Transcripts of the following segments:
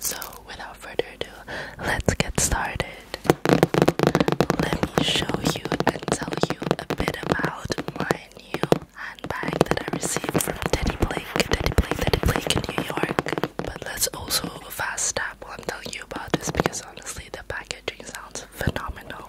So, without further ado, let's get started. Let me show you and tell you a bit about my new handbag that I received from Teddy Blake, Teddy Blake, Teddy Blake in New York. But let's also fast step while I'm telling you about this because honestly, the packaging sounds phenomenal.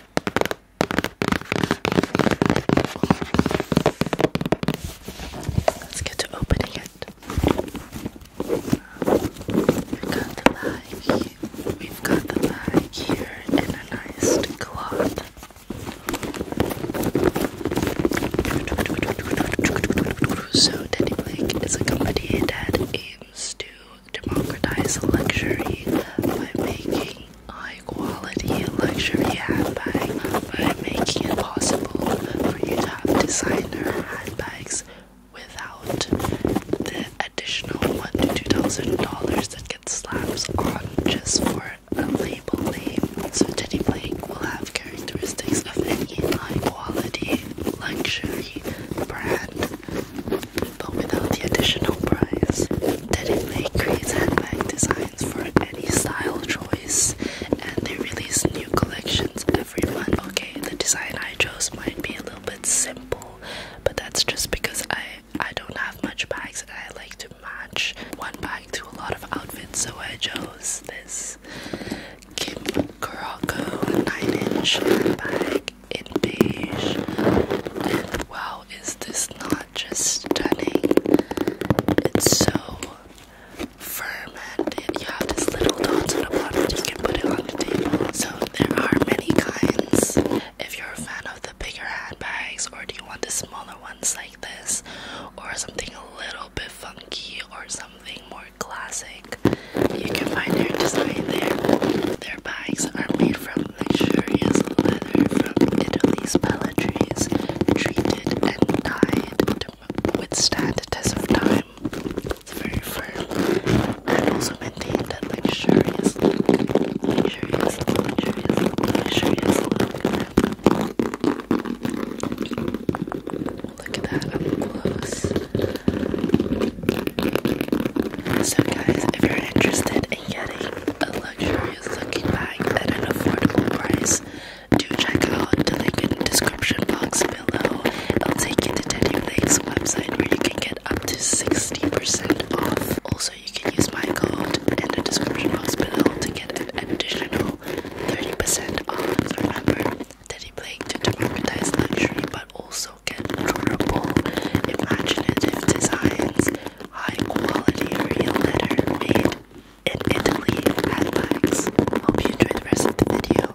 Let's get to opening it. We've got the bag. We've got the bag here in a nice cloth. So Teddy Blake is a company that aims to democratize luxury by making high quality luxury handbags, by making it possible for you to have designer handbags without the additional one to two thousand dollars that gets slapped on just for a label name. So Teddy Blake will have characteristics of any high quality luxury brand but without the additional price. Teddy Blake creates handbag designs for any style choice, and they release new collections every month. Okay, the design I chose might be a little bit simple, but that's just because I I don't have much bags and I like to match one bag to a lot of outfits, so I chose this Kim Kuroko 9 inch handbag in beige. And wow, is this not just stunning? It's so firm, and You have this little dot in the bottom, you can put it on the table. So there are many kinds. If you're a fan of the bigger handbags, or do you want the smaller ones like this, or something a little bit funky, or something more classic, you can find their design there. Their bags are made from luxurious leather from Italy's palletries, treated and dyed to withstand the test of time. It's very firm and also maintain that luxurious luxurious, luxurious, luxurious look. Look at that up close. So guys, if you're interested in getting a luxurious looking bag at an affordable price, do check out the link in the description box below. i will take you to Teddy Blake's website where you can get up to 60% off. Also, you can use my code in the description box below to get an additional 30% off. Remember, Teddy Blake to democratize luxury but also also durable, imaginative designs, high quality real leather made in Italy handbags. Hope you enjoy the rest of the video.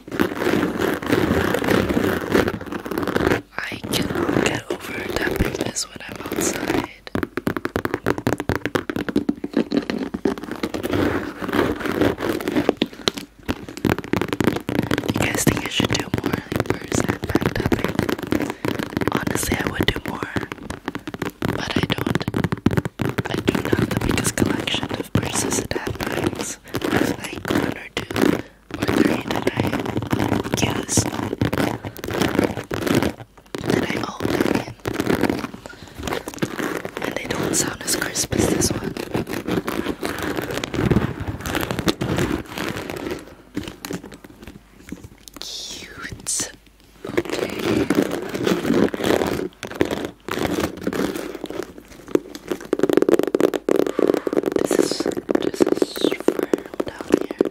I cannot get over that because when I'm outside, you guys think I should do more like and back Honestly, I would do more, but I don't. I do not the biggest collection of purses and handbags. Like one or two ordinary that I use that I own and they don't sound as crisp as this one cute okay this is this is firm down here.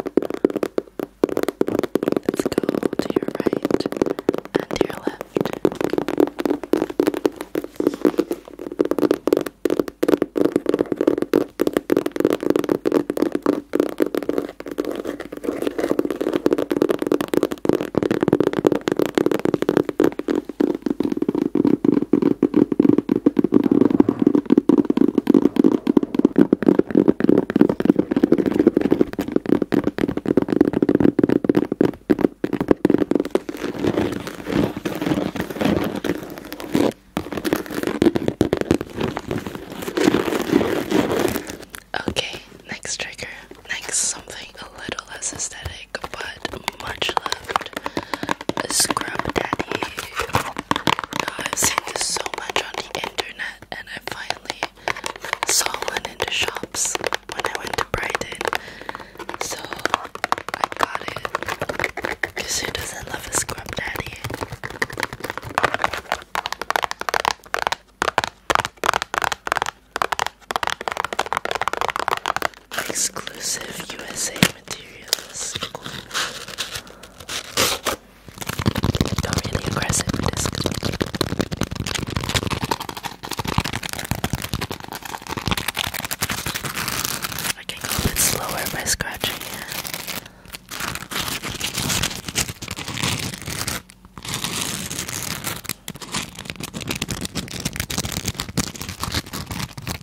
Let's go to your right and to your left. Okay, next trigger, next something a little less aesthetic but much loved Scrub Daddy. I've so much on the internet, and I finally saw one in the shops when I went to Brighton. So I got it. who doesn't love a Scrub Daddy? Exclusive USA materials. Got really aggressive I can go a bit slower by scratching it.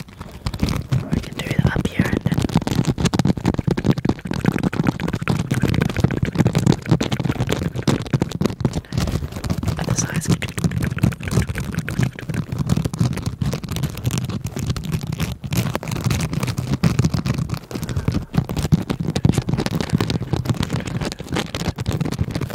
Or we can do it up here and then other sides.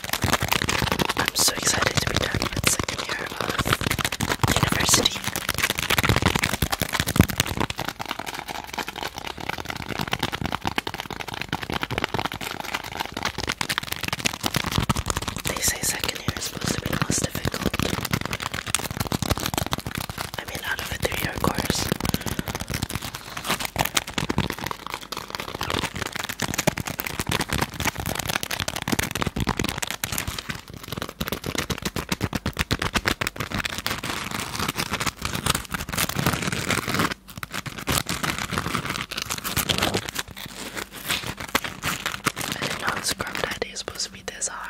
I'm so excited to be starting my second year of university. They say second year is supposed to be the most difficult. I mean, out of a three year course. I did not scrub that it's supposed to be this hard.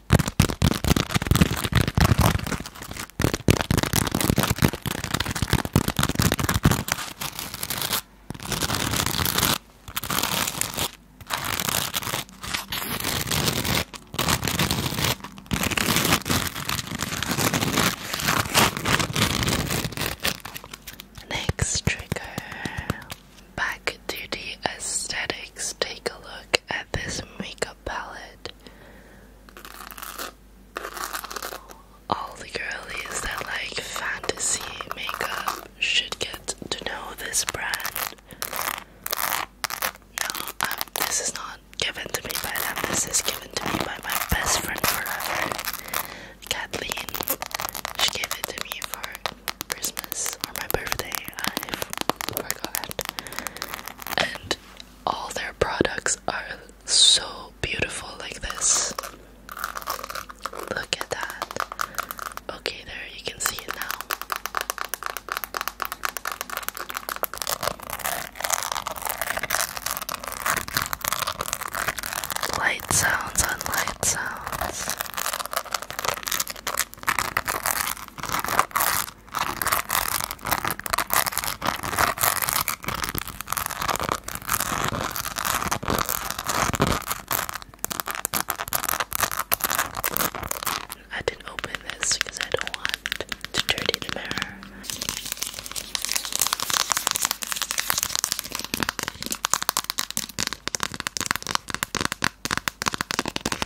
Next trigger. Back to the aesthetics. Take a look at this makeup palette. All the girlies that like fantasy makeup should get to know this brand. No, um, this is not given to me by them, this is given to me by my best friend forever, Kathleen. She gave it to me for Christmas or my birthday, I forgot. And all their products are so beautiful like this. Look at that. Okay, there you can see it now. Light sounds on light sounds. I didn't open this because I don't want to dirty the mirror.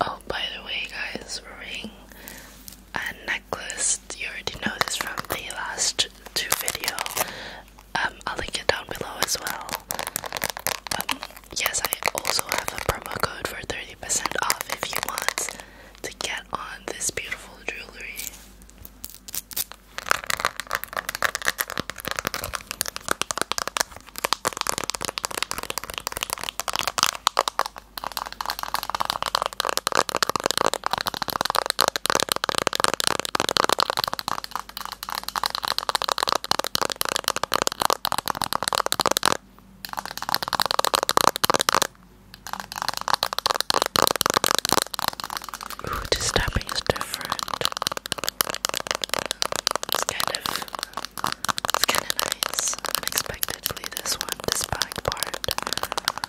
Oh, by the way, guys, Ring a necklace. You already know this from the last two video. Um, I'll link it down below as well. Um, yes, I also have a promo code for 30% off if you want to get on this beautiful jewelry. Ooh, this tapping is different. It's kind of, kind of nice. Unexpectedly, this one, this back part.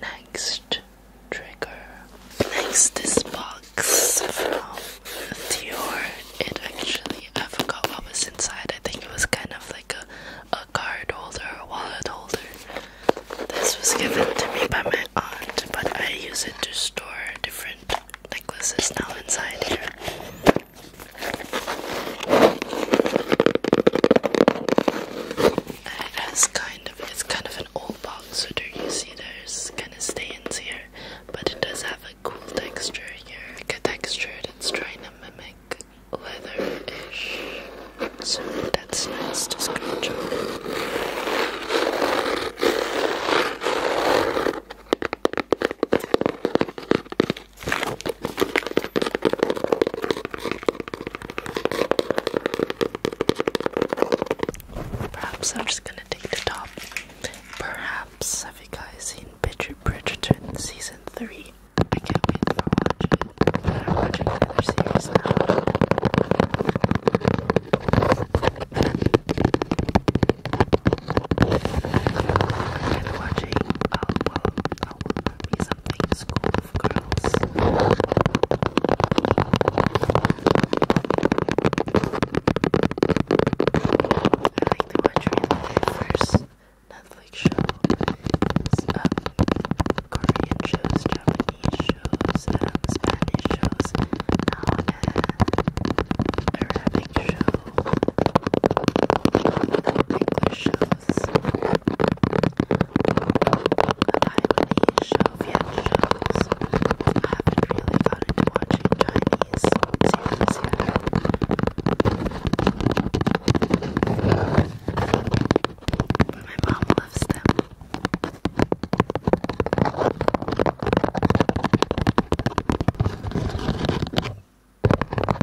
Next trigger. Next this box from Dior. It actually I forgot what was inside. I think it was kind of like a a card holder or wallet holder. This was given to me by my aunt, but I use it to store different necklaces now inside here it has kind of, it's kind of an old box, so do you see there's kind of stains here. But it does have a cool texture here, a texture that's trying to mimic leather-ish. So that's nice to scratch Perhaps I'm just gonna take the top. Perhaps have you guys seen Bridgerton season three? I can't wait for watching I'm watching the other series now. And watching, oh well, oh, well, something school girls. I like the watching the first Netflix show, uh, Korean shows, Japanese shows, Spanish shows, now uh, Arabic shows, English shows. Taiwanese show, Viet shows. I haven't really gotten into watching Chinese series But my mom loves them.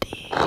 Dior,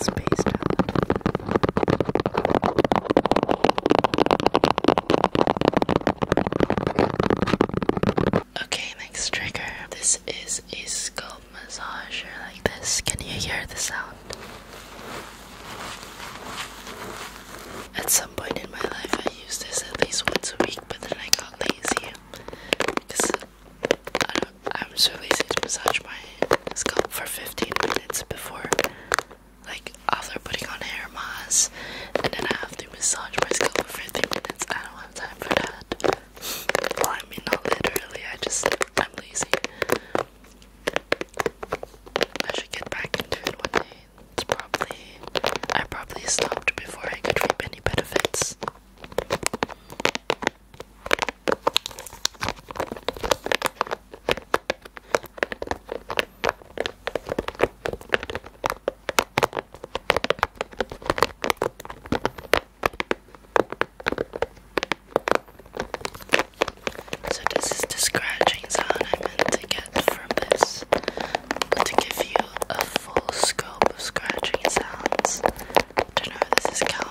spaced out. Okay, next trigger. This is a scalp massager like this. Can you hear the sound? At some point in my life, I used this at least once a week, but then I got lazy because I don't, I'm so lazy to massage my scalp for 15 minutes before like after putting on hair mask and then I have to massage my scalp for 30 minutes. I don't have time for that. I mean, not literally, I just, I'm lazy. I should get back into it one day. It's probably, I probably stopped before I could reap any benefits. So this is the scratching sound I meant to get from this, to give you a full scope of scratching sounds. don't know if this is count.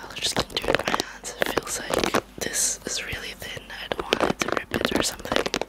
I'll just like do it with my hands. It feels like this is really thin. I don't want it to rip it or something.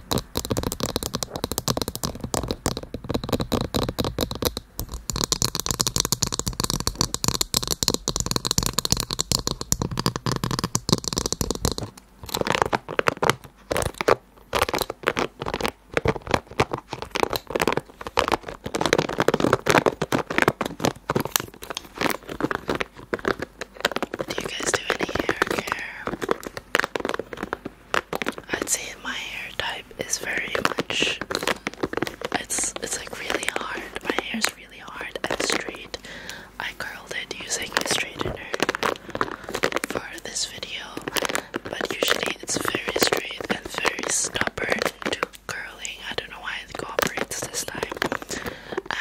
Do you guys do any hair care? I'd say my hair type is very much it's it's like really hard. My hair is really hard and straight. I curled it using a straightener for this video, but usually it's very straight and very stubborn to curling. I don't know why it cooperates this time.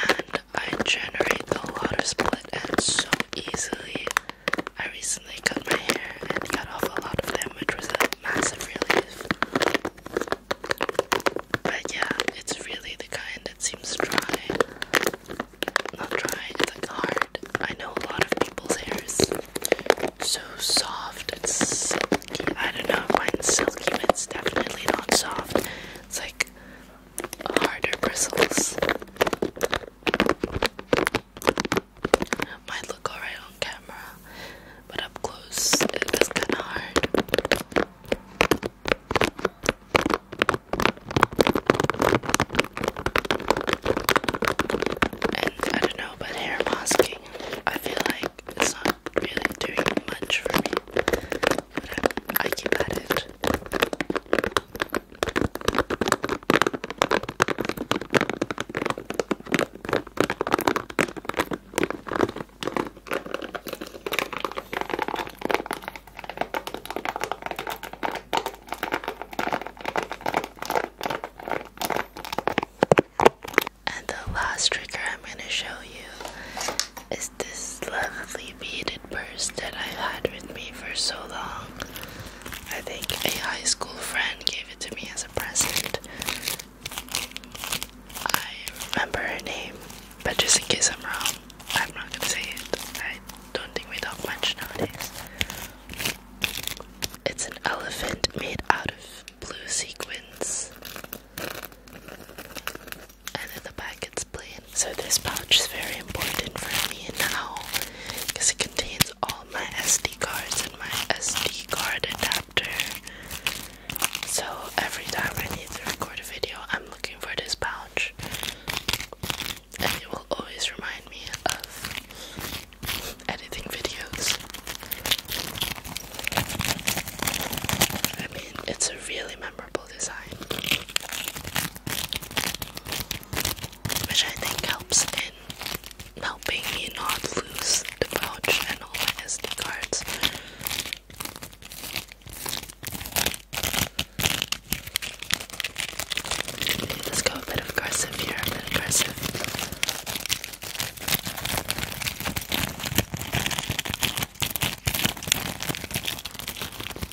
And I generate a lot of split ends so easily. I recently cut my hair and cut off a lot of them, which was a massive relief. But yeah, it's really the kind that seems dry. Not dry, it's like hard. I know a lot of people's hairs so soft it's silky. I don't know if mine's silky, but it's definitely not soft. It's like harder bristles. Might look alright on camera, but up close it kinda hard. And I don't know, but hair masking, I feel like it's not really doing much for me. But I keep at it. And the last trigger I'm going to show you is this lovely beaded purse that I've had with me for so long. I think a high school friend gave it to me as a present. I remember her name, but just in case I'm wrong, I'm not gonna say it. I don't think we talk much nowadays. It's an elephant made out of blue sequins, and in the back it's plain. So, this pouch is very important for me now because it contains all my SD cards and my SD card adapter. So every time I need to record a video, I'm looking for this pouch, and it will always remind me of editing videos. I mean, it's a really memorable design which I think helps in helping me not lose the pouch and all my SD cards. let's go a bit aggressive here, a bit aggressive.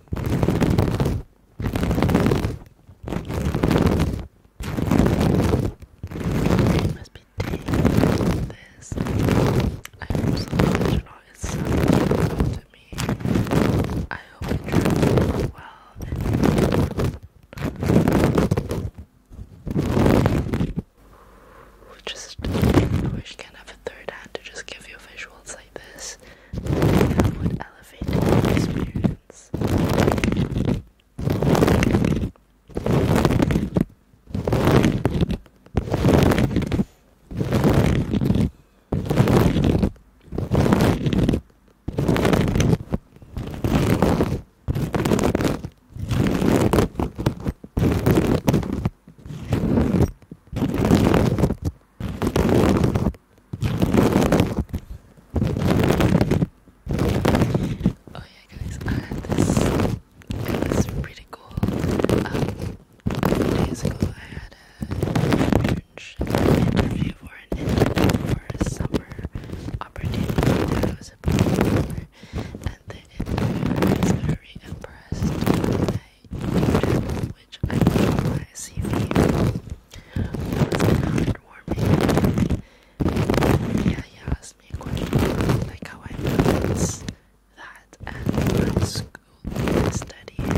Must be taking this. I hope so much It's so beautiful to me. I hope it turns well just wish I can have a third hand to just give you visuals like this that would elevate the experience. Thank Oh yeah guys, I uh, had this, it was pretty cool, um, two days ago I had a church interview for an interview for a summer opportunity I was applying for, and the interviewer was very impressed with my which I put on my CV. That was an Yeah, he asked me a question like how I balance that and my school studies.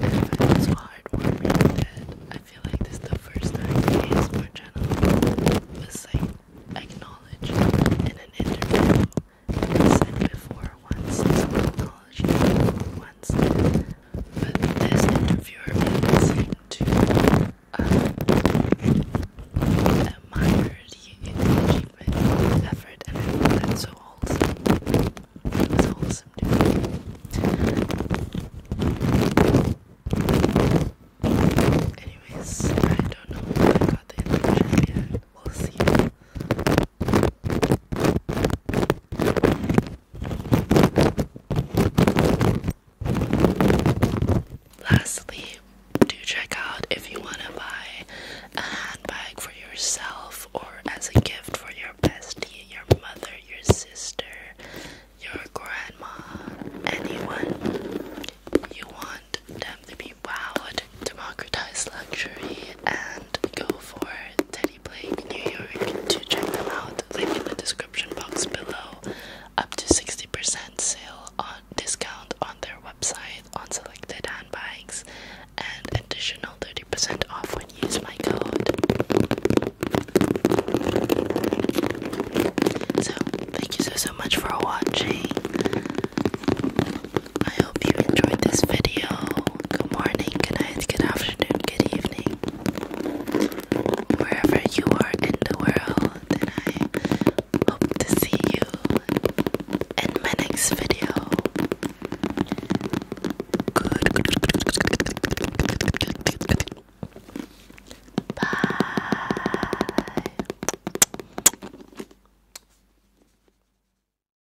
And it was heartwarming I feel like this is the first time ASMR channel was like acknowledged in an interview I've said before once, this apology once, but this interviewer really seemed to uh, admire the achievement, effort, and that's so wholesome. It wholesome Anyways, I don't know if I got the impression yet we'll see. Lastly, do check out if you want to buy a handbag for yourself or as a gift for your bestie, your mother, your sister, your grandma, anyone. You want them to be wowed democratize luxury and go for Teddy Blake New York to check them out. Link in the description box below. Up to 60% sale on discount on their website on selected handbags and additional 30% off when you use my code. So, thank you so so much for watching. I hope you enjoyed this video. Good morning, good night, good afternoon, good evening. Wherever you are in the world, and I hope to see you in my next video. Good.